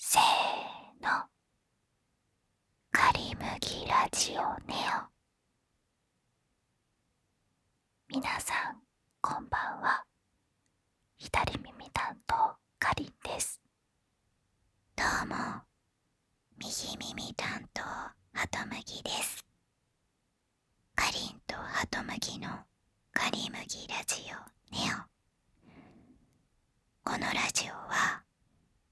せーのかりむぎラジオネオ皆さんこんばんは左耳担当かりんですどうも右耳担当ハトムギですかりんとハトムギのカリムギラジオネオこのラジオは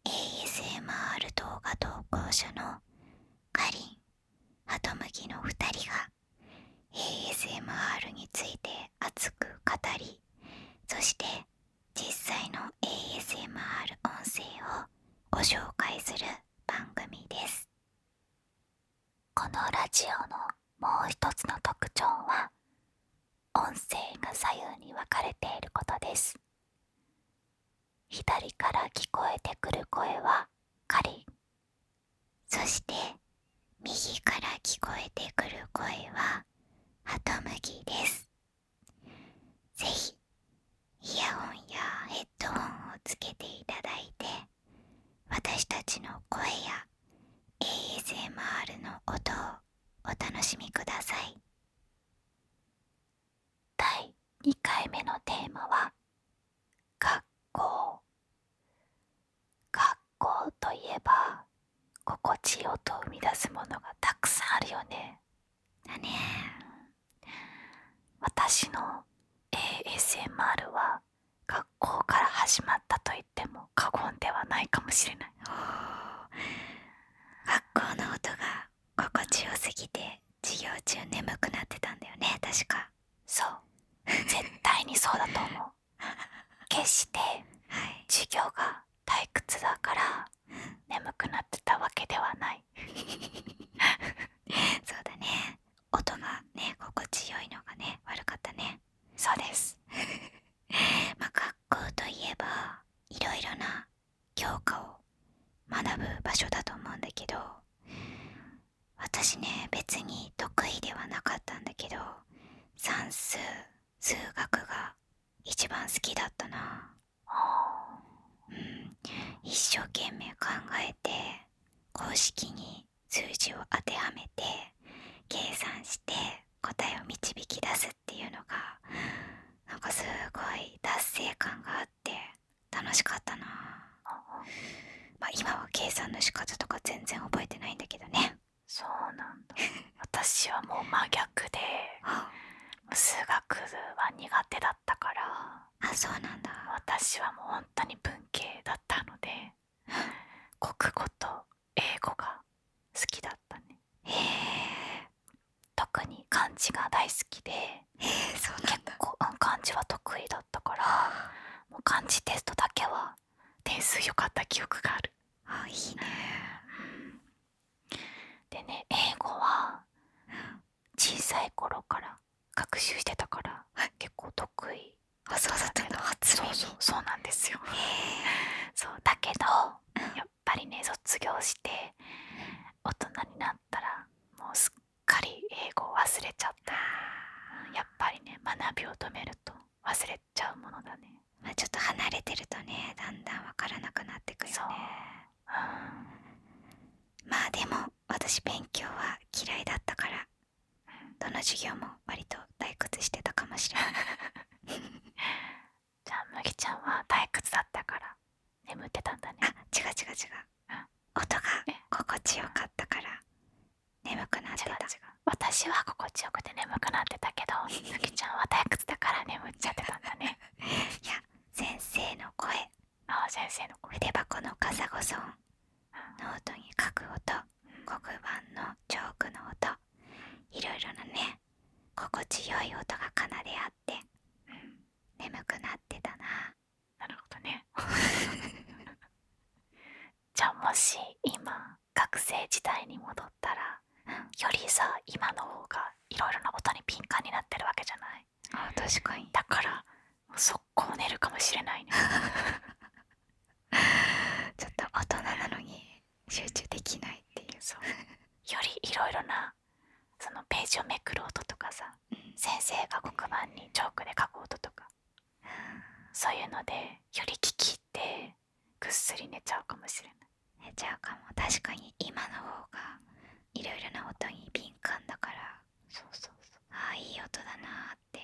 ASMR 動画投稿者のカリンハトムギの2人が ASMR について熱く語りそして実際の ASMR 音声をご紹介する番組ですこのラジオのもう一つの特徴は音声が左右に分かれていることです左から聞こえてくる声はカリそして右から聞こえてくる声はハトムギです是非イヤホンやヘッドホンをつけていただいて私たちの声や ASMR の音をお楽しみください第2回目のテーマは「学校」学校といえば心地いい音を生み出すものがたくさんあるよね。だね私の ASMR は学校から始まったと言っても過言ではないかもしれない 学校の音が心地よすぎて授業中眠くなってたんだよね確かそう絶対にそうだと思う 決して授業が退屈だから眠くなってたわけではない そうだね音がね心地よいのがね悪かったねそうです ま学校といえばいろいろな教科を学ぶ場所だと思うんだけど私ね別に得意ではなかったんだけど算数数学が一番好きだったな、うん、一生懸命考えて公式に数字を当てはめて計算して答えを導き出すっていうのがなんかすごい達成感があって楽しかったなまあ今は計算の仕方とか全然覚えてないんだけどねそうなんだ私はもう真逆で 数学は苦手だったからあそうなんだ私はもう本当に文系だったので 国語と英語が好きだったねへえ特に漢字が大好きでそう結構、漢字は得意だったから漢字テストだけは点数良かった記憶があるあいいね、でね英語は小さい頃から学習してたから、結構得意あそうだったんだ初そうそうなんですよ、そうだけど、やっぱりね卒業して大人になったらもうすっかり英語を忘れちゃったやっぱりね学びを止めると忘れちゃうものだね、ちょっと離れてるとねだんだん分からなくなってくよねうまあでも私勉強は嫌いだったからどの授業も割と退屈してたかもしれない じゃあ麦ちゃんは退屈だったから眠ってたんだねあ違う違う違う、音が心地よかったから眠くなってた違う私は心地よくて眠くなってたけど 麦ちゃんは退屈だから眠っちゃってたんだねいや先生の声あ先生の声筆箱の傘サゴソノートに書く音黒板のチョークの音いろいろなね心地よい音が奏であって、眠くなってたななるほどね じゃあもし今学生時代に戻ったら、よりさ今の方がいろいろな音に敏感になってるわけじゃないあ確かにだから速攻寝るかもしれないね ちょっと大人なのに集中できないっていうそうよりいろいろなそのページをめくる音とかさ、先生が黒板にチョークで書く音とか、そういうのでより聞き入ってぐっすり寝ちゃうかもしれない寝ちゃうかも確かに今の方がいろいろな音に敏感だからそうそうああいい音だなって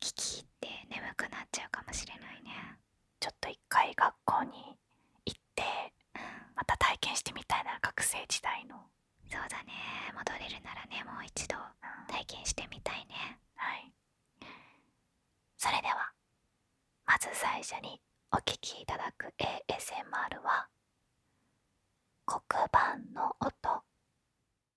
聞き入って眠くなっちゃうかもしれないねちょっと一回学校に行ってまた体験してみたいな学生時代のそうだね戻れるならねもう一度体験してみたいねはいそれではまず最初にお聴きいただく ASMR は黒板の音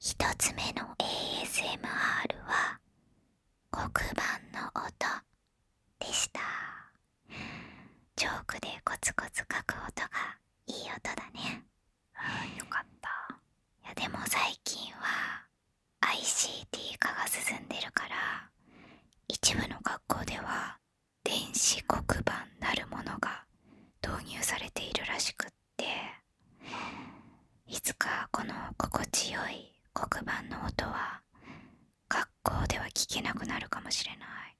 1つ目の ASMR は黒板の音でしたチョークでコツコツ書く音がいい音だねうんよかったいやでも最近は ICT 化が進んでるから一部の学校では電子黒板なるものが導入されているらしくっっいつかこの心地よい黒板の音は学校では聞けなくなるかもしれない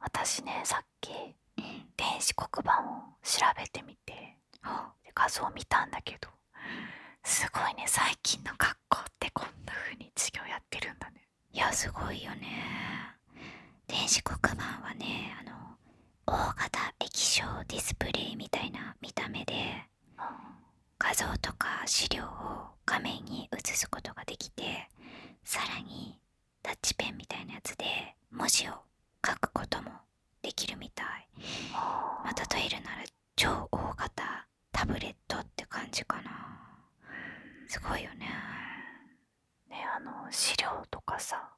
私ねさっき、うん、電子黒板を調べてみて画像を見たんだけどすごいね最近の学校ってこんな風に授業やってるんだねいやすごいよね電子黒板はねあの大型液晶ディスプレイみたいな見た目で画像とか資料を画面に映すことができてさらにタッチペンみたいなやつで文字を書くこともできるみたい、まあ、例えるなら超大型タブレットって感じかなすごいよねね、あの資料とかさ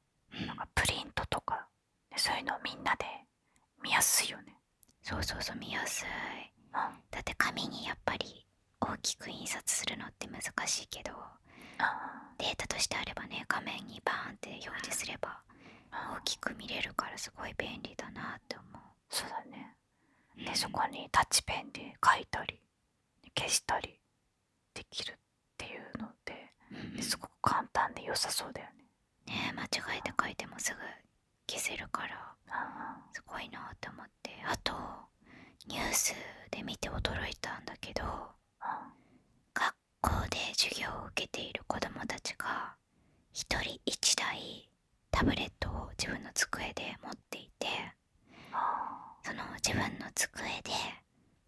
なんかプリントとか、そういうのみんなで見やすいよねそうそうそう見やすい、だって紙にやっぱり大きく印刷するのって難しいけど、データとしてあればね画面にバーンって表示すれば大きく見れるからすごい便利だなって思うそうだねそこにタッチペンで書いたり消したりできるっていうのですごく簡単でよさそうだよね。ね間違えて書いてもすぐ消せるからすごいなと思ってあとニュースで見て驚いたんだけど学校で授業を受けている子どもたちが1人1台タブレットを自分の机で持っていてその自分の机で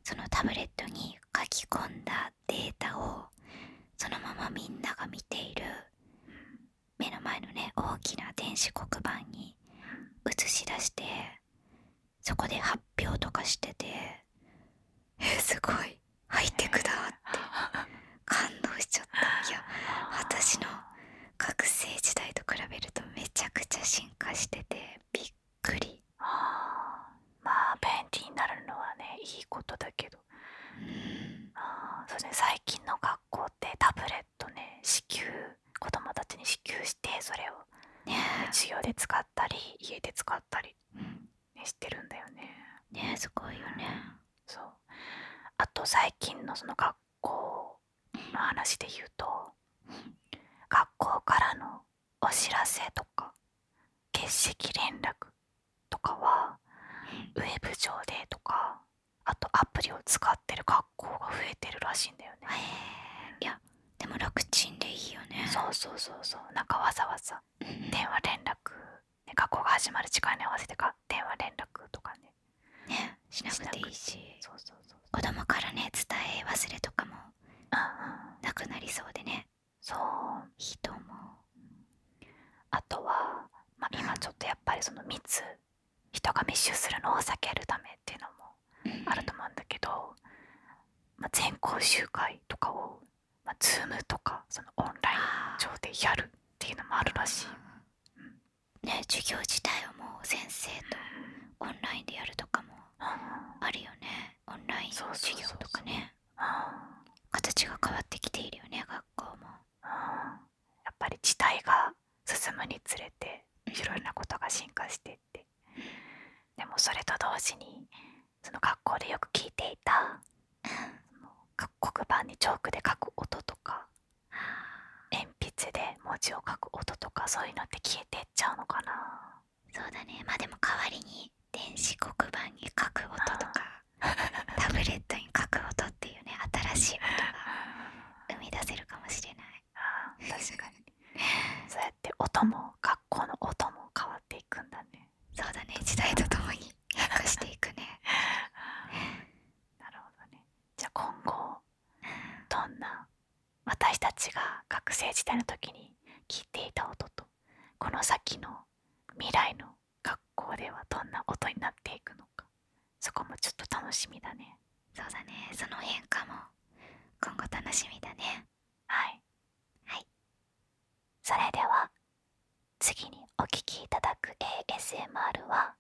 そのタブレットに書き込んだデータをそのままみんなが見ている目の前のね大きな電子黒板に映し出してそこで発表とかしててえすごい入ってクだって感動しちゃった私の学生時代と比べるとめちゃくちゃ進化しててびっくくりあまあ便利になるのはねいいことだけど、最近の学校ってタブレットね子宮、子供たちに支給してそれを授業で使ったり家で使ったり、してるんだよね。ねすごいよね。あと最近のその学校の話で言うと、学校からのお知らせとか欠席連絡とかはウェブ上でとかあとアプリを使ってる学校が増えてるらしいんだよね。いやでも楽ちんでいいよね。そうそうそうそうなんかわざわざ電話連絡、ね、学校が始まる時間に合わせて電話連絡とかね。ねしなくていいし。そうそうそう子供からね伝え忘れとかもなくなりそうでねそう人も。あとは、ま今ちょっとやっぱりその密人が密集するのを避けるためっていうのもあると思うんだけど、ま全校集会とかを、まあ、Zoom とかそのオンライン上でやるっていうのもあるらしい。ね、授業自体はもう先生とオンラインでやるとかもあるよねオンライン授業とかね形が変わってきているよね学校もやっぱり時代が進むにつれていろいろなことが進化していってでもそれと同時にその学校でよく聞いていた黒板にチョークで書く音とか鉛筆で文字を書く音とかそういうのって消えてっちゃうのかなそうだねまでも代わりに電子黒板に書く音とかタブレットに書く音っていうね新しい音が生み出せるかもしれない確かにそうやって音も学校の音も変わっていくんだねそうだね時代とともに変化していくね なるほどねじゃあ今後どんな私たちが学生時代の時に聴いていた音とこの先の未来の学校ではどんな音になっていくのかそこもちょっと楽しみだねそうだねその変化も今後楽しみだねはいはいそれでは次にお聴きいただく ASMR は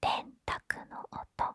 電卓の音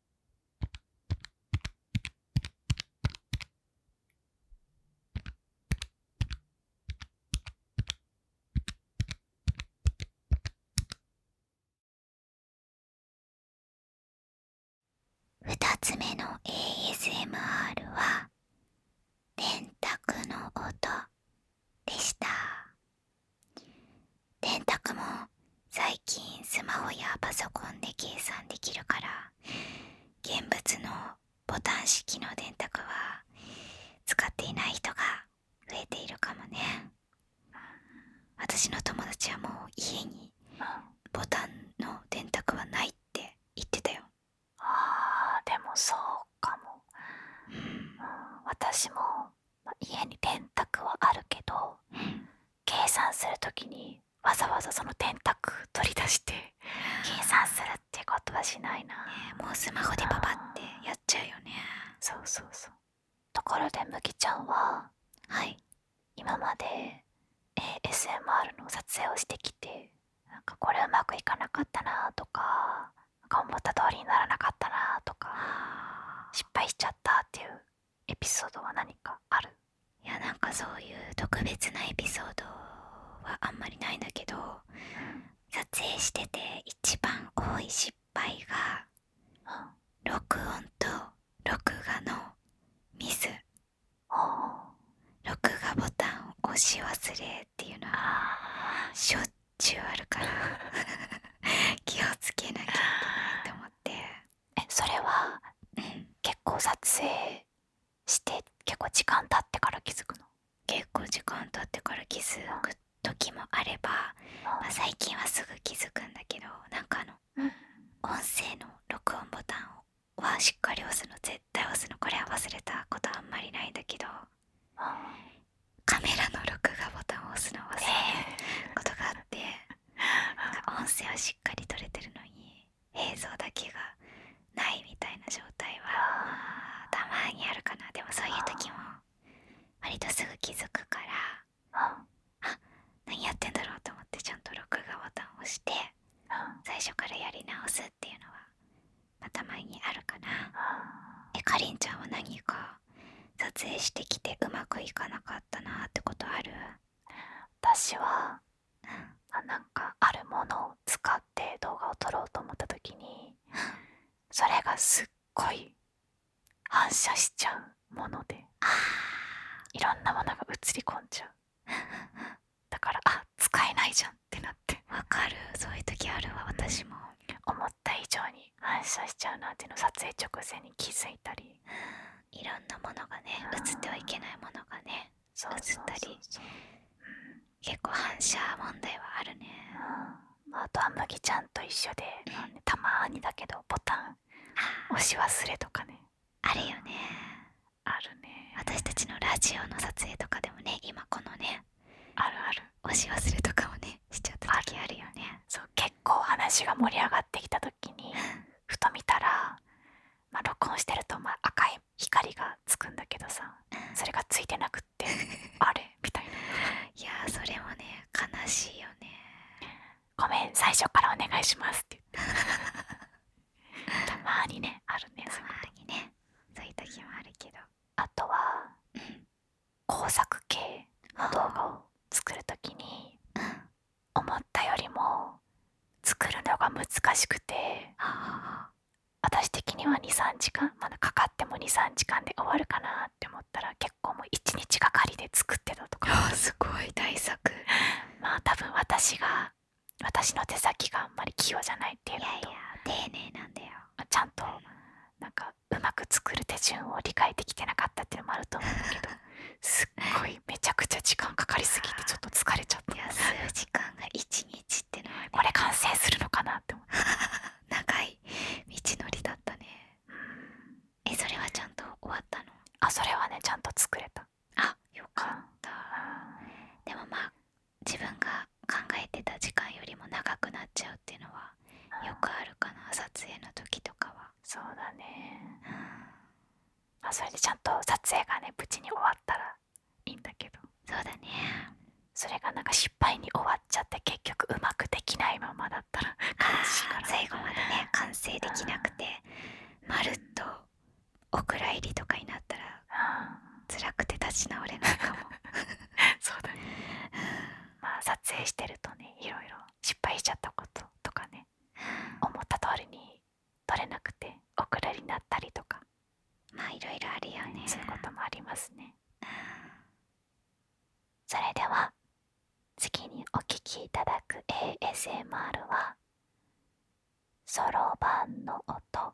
2つ目の ASMR は電卓の音でした電卓も最近スマホやパソコンで計算できるから現物のボタン式の電卓は使っていない人が増えているかもね私の友達はもう家にボタンの電卓はないって言ってたよあーでもそうかも、うん、私も家に電卓はあるけど、計算する時にわざわざその電卓取り出して計算するってことはしないな、もうスマホでパパってやっちゃうよねそうそうそうところで麦ちゃんははい今まで ASMR の撮影をしてきてなんかこれうまくいかなかったなとかなん思った通りにならなかったなとか失敗しちゃったっていうエピソードは何かあるいやなんかそういう特別なエピソードはあんまりないんだけど撮影してて一番多い失敗が、録音と録画のミス録画ボタンを押し忘れっていうのはしょっちゅうあるから 気をつけなきゃいけないと思ってえそれは、結構撮影して結構時間経ってから気づくの結構時間経ってから気づく時もあれば、最近はすぐ気づくんだけどなんかあの、音声の録音ボタンはしっかり押すの絶対押すのこれは忘れたことあんまりないんだけど、カメラの録画ボタンを押すの忘れることがあって。音声をしっかり撮れてるのに映像だけがないみたいな状態はたまにあるかなでもそういう時も割とすぐ気づくからあ何やってんだろうと思ってちゃんと録画ボタンを押して最初からやり直すっていうのは、たまにあるかな。えかりんちゃんは何か撮影してきてうまくいかなかったなってことある私はあなんかあるものを使って動画を撮ろうと思った時にそれがすっごい反射しちゃうものでいろんなものが映り込んじゃうだからあ使えないじゃんってなってわかるそういう時あるわ私も思った以上に反射しちゃうなっていうの撮影直前に気づいたり。いろんなものがね映ってはいけないものがね映ったり結構反射問題はあるね、あ、とは麦ちゃんと一緒で、たまにだけどボタン押し忘れとかねあるよねあるね私たちのラジオの撮影とかでもね今このねあるある押し忘れとかもねしちゃった時あるよねそう結構話が盛わきた時にふと見たら、録音してると赤い光がつくんだけどさそれがついてなくって あれみたいな。いやそれもね悲しいよね。ごめん最初からお願いしますって言って たまにねあるねたまにねそういう時もあるけどあとは、工作系の動画を作る時に、思ったよりも作るのが難しくて私的には23時間まだかかっても23時間で終わるかなって思ったら結構もう1日がかりで作ってたとかすごい大作 まあ多分私が私の手先があんまり器用じゃないっていうのと丁寧なんだよちゃんとなんかうまく作る手順を理解できてなかったっていうのもあると思うけどすっごいめちゃくちゃ時間かかりすぎてちょっと疲れちゃった数時間が1日ってのは、これ完成するのかなって 長い道のりだったねそれはちゃんと作れたあよかったでもまあ自分が考えてた時間よりも長くなっちゃうっていうのはよくあるかな撮影の時とかはそうだね、あそれでちゃんと撮影がね無事に終わったらいいんだけどそうだねそれがなんか失敗に終わっちゃって結局うまくできないままだったら悲しい最後までね完成できなくて、まるっとお蔵入りとかになったら、うん、辛くて立ち直れないかも そうだね、まあ撮影してるとねいろいろ失敗しちゃったこととかね思った通りに取れなっとかまあいろいろあるよねそういうこともありますね、うん、それでは次にお聴きいただく ASMR はそろばんの音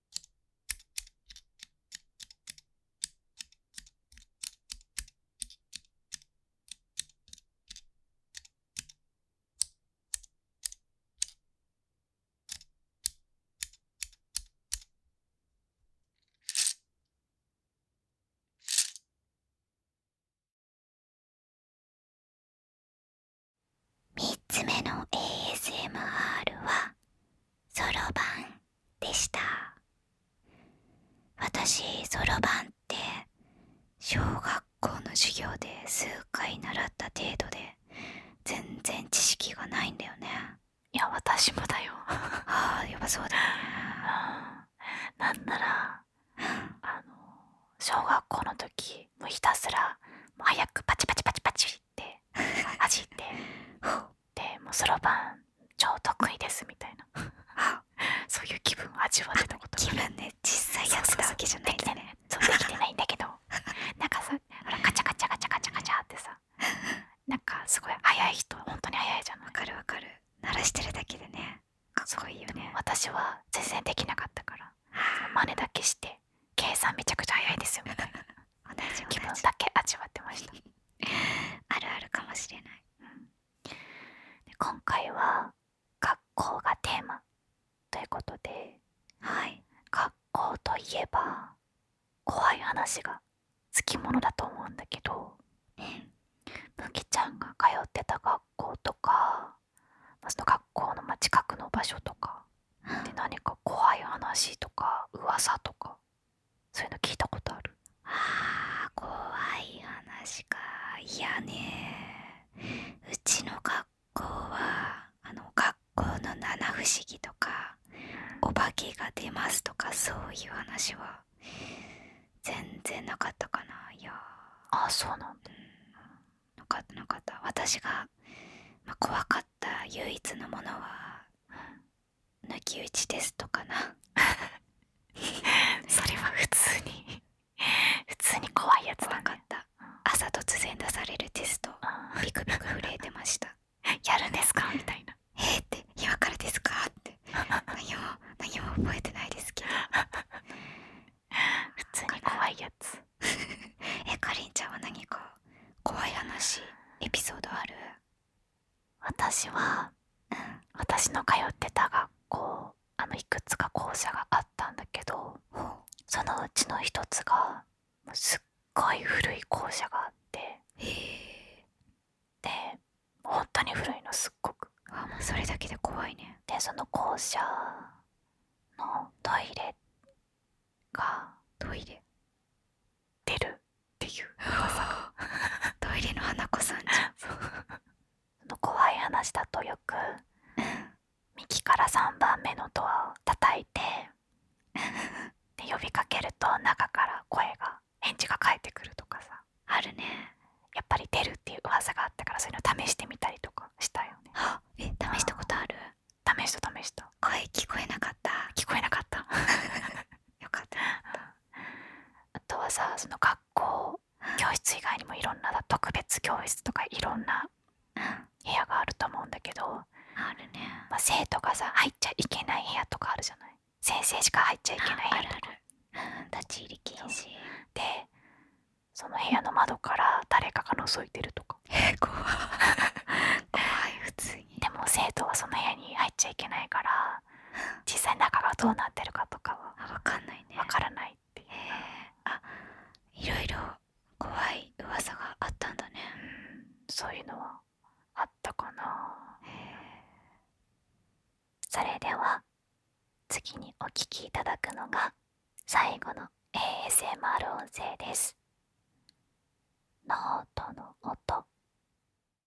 3つ目の ASMR はそろばんでした私そろばんって小学校の授業で数回習った程度で全然知識がないんだよねいや私もだよああやっそうだなんならあの小学校の時もひたすらもう早くパチパチパチパチって走って でもうそろばん超得意ですみたいな そういう気分を味わってたこと気分で実際やってたわけじゃないですねそうできてないんだけど なんかさガチャガチャガチャガチャガチャってさなんかすごい速い人本当に速いじゃんわかるわかる鳴らしてるだけでねすごいよね私は全然できなかったから真似だけして計算めちゃくちゃ速いですよみたいな同気分だけ味わってました あるあるかもしれない、今回は学校がテーマということではい学校といえば怖い話がつきものだと思うんだけど、むきちゃんが通ってた学校とか、その学校の近くの場所とか、何か怖い話とか噂とかそういうの聞いたことあるあー怖い話かいやねうちの学校はあの学校の七不思議とかお化けが出ますとかそういう話は全然なかったかないやあそうなんだ、うかったなかった私が、怖かった唯一のものは抜き打ちテストかな それは普通に普通に怖いやつ分かった朝突然出されるテストビクビク震えてました やるんですかみたいなえー、って今からですかって 何も何も覚えてないですけど普通に怖いやつえかりんちゃんは何か怖い話エピソードある私は、私の通ってた学校あのいくつか校舎があったんだけど、そのうちの一つがすっごい古い校舎があってで本当に古いのすっごくそれだけで怖いねでその校舎のトイレがトイレ出る トイレの花子さんじ怖い話だとよく、う右から3番目のドアを叩いて呼びかけると中から声が返事が返ってくるとかさあるねやっぱり出るっていう噂があったからそういうの試してみたりとかしたよねえ試したことある試した声聞こえなかっ聞こえなかった よかったあとはさその学校教室以外にもいろんな特別教室とかいろんな部屋があると思うんだけどあるね、まあ、生徒がさ入っちゃいけない部屋とかあるじゃない先生しか入っちゃいけないある立ち入り禁止でその部屋の窓から誰かが覗いてるとかえ 怖い怖い普通でも生徒はその部屋に入っちゃいけないから 実際中がどうなってるかとかは分かんないねらないっていう、あいろいろ怖い噂があったんだね、うん、そういうのはあったかな、それでは次にお聞きいただくのが最後の ASMR 音声ですノートの音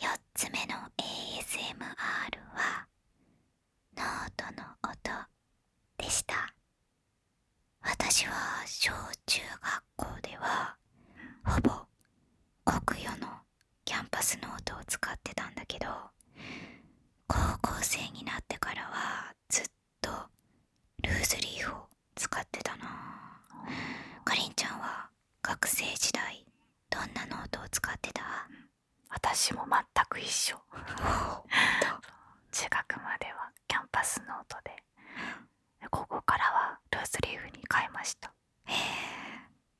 4つ目の ASMR はノートの音でした私は小中学校ではほぼ国与のキャンパスノートを使ってたんだけど高校生になってからはずっとルーズリーフを使ってたなかりんちゃんは学生時代どんなノートを使ってた私も全く一緒 中学まではキャンパスノートでここからはルースリーフに変えましたへえ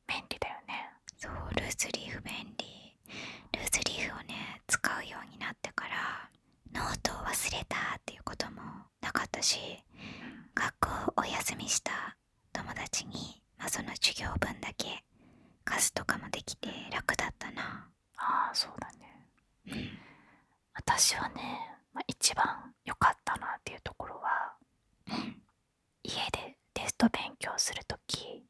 便利だよねそうルースリーフ便利ルースリーフをね使うようになってからノートを忘れたっていうこともなかったし、学校お休みした友達に、その授業分だけ貸すとかもできて楽だったなああそうだね、うん、私はね、まあ、一番良かったなっていうところは、家でテスト勉強する時、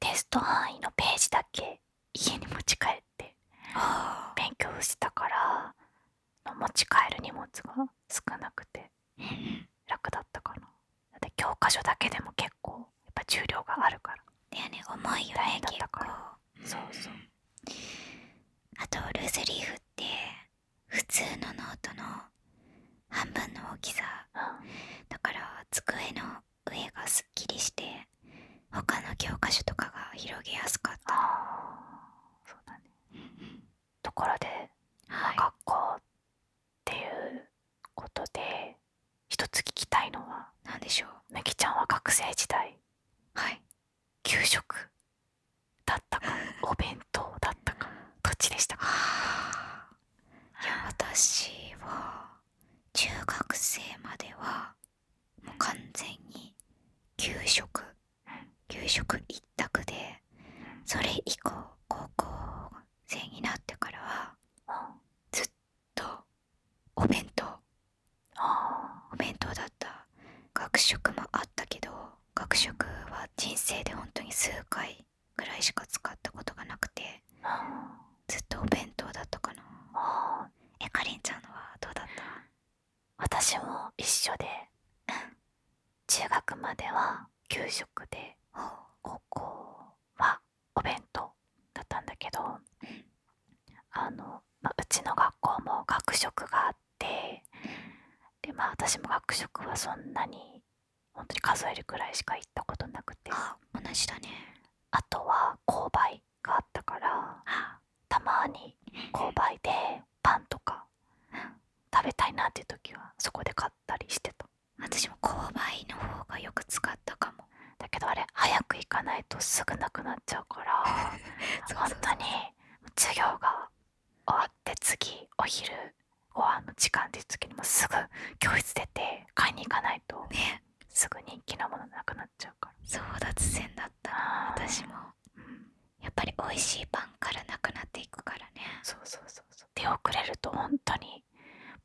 テスト範囲のページだけ家に持ち帰って勉強したから持ち帰る荷物が少なくて楽だったかな。だって教科書だけでも結構やっぱ重量があるから。だね重いよねだったから。そうそうあとルーズリーフって普通のノートの半分の大きさだから机の上がすっきりして他の教科書とかが広げやすかったところで、はい、学校っていうことで一つ聞きたいのは何でしょうめきちゃんは学生時代はい給食だったか お弁当だったかどちでしたいや私は中学生まではもう完全に給食給食一択でそれ以降高校生になってからはずっとお弁当お弁当だった学食もあったけど学食は人生でほんとに数回ぐらいしか使ったことがなくてずっとお弁当だったかなえかりんちゃんのはどうだった私も一緒で中学までは給食で高校はお弁当だったんだけどあの、うちの学校も学食があってで、まあ、私も学食はそんなにほんとに数えるくらいしか行ったことなくてあ同じだねあとは購買があったからたまに購買でパンとか食べたいなっていう時はそこで買ったりしてた私も購買の方がよく使ったかもだけどあれ早く行かないとすぐなくなっちゃうから そうそに授業が終わって次お昼ご飯の時間っていう時にすぐ教室出て買いに行かないとすぐ人気のものなくなっちゃうから争奪戦だった私も、やっぱり美味しいパンからなくなっていくからねそうそうそうそう出遅れると本当に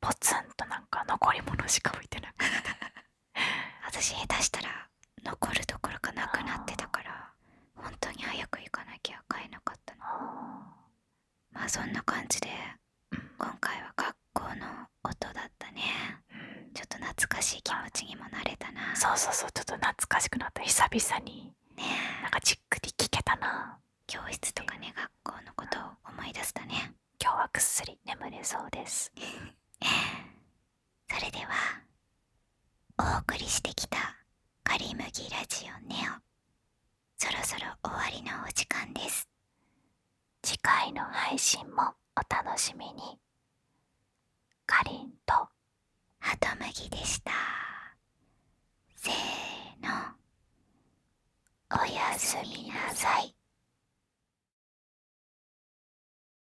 ぽつんとなんか残り物しか置いてなくて 私下手したら残るどころかなくなってたからほんとに早く行かなきゃ買えなかったのまあそんな感じで今回は学校の音だったね、ちょっと懐かしい気持ちにもなれたなそうそうそうちょっと懐かしくなった久々にねなんかじっくり聞けたな教室とかね学校のことを思い出したね今日はぐっすり眠れそうです それではお送りしてきた「カりムギラジオネオ」そろそろ終わりのお時間です次回の配信もお楽しみにかりんとハトムギでしたせーのおやすみなさい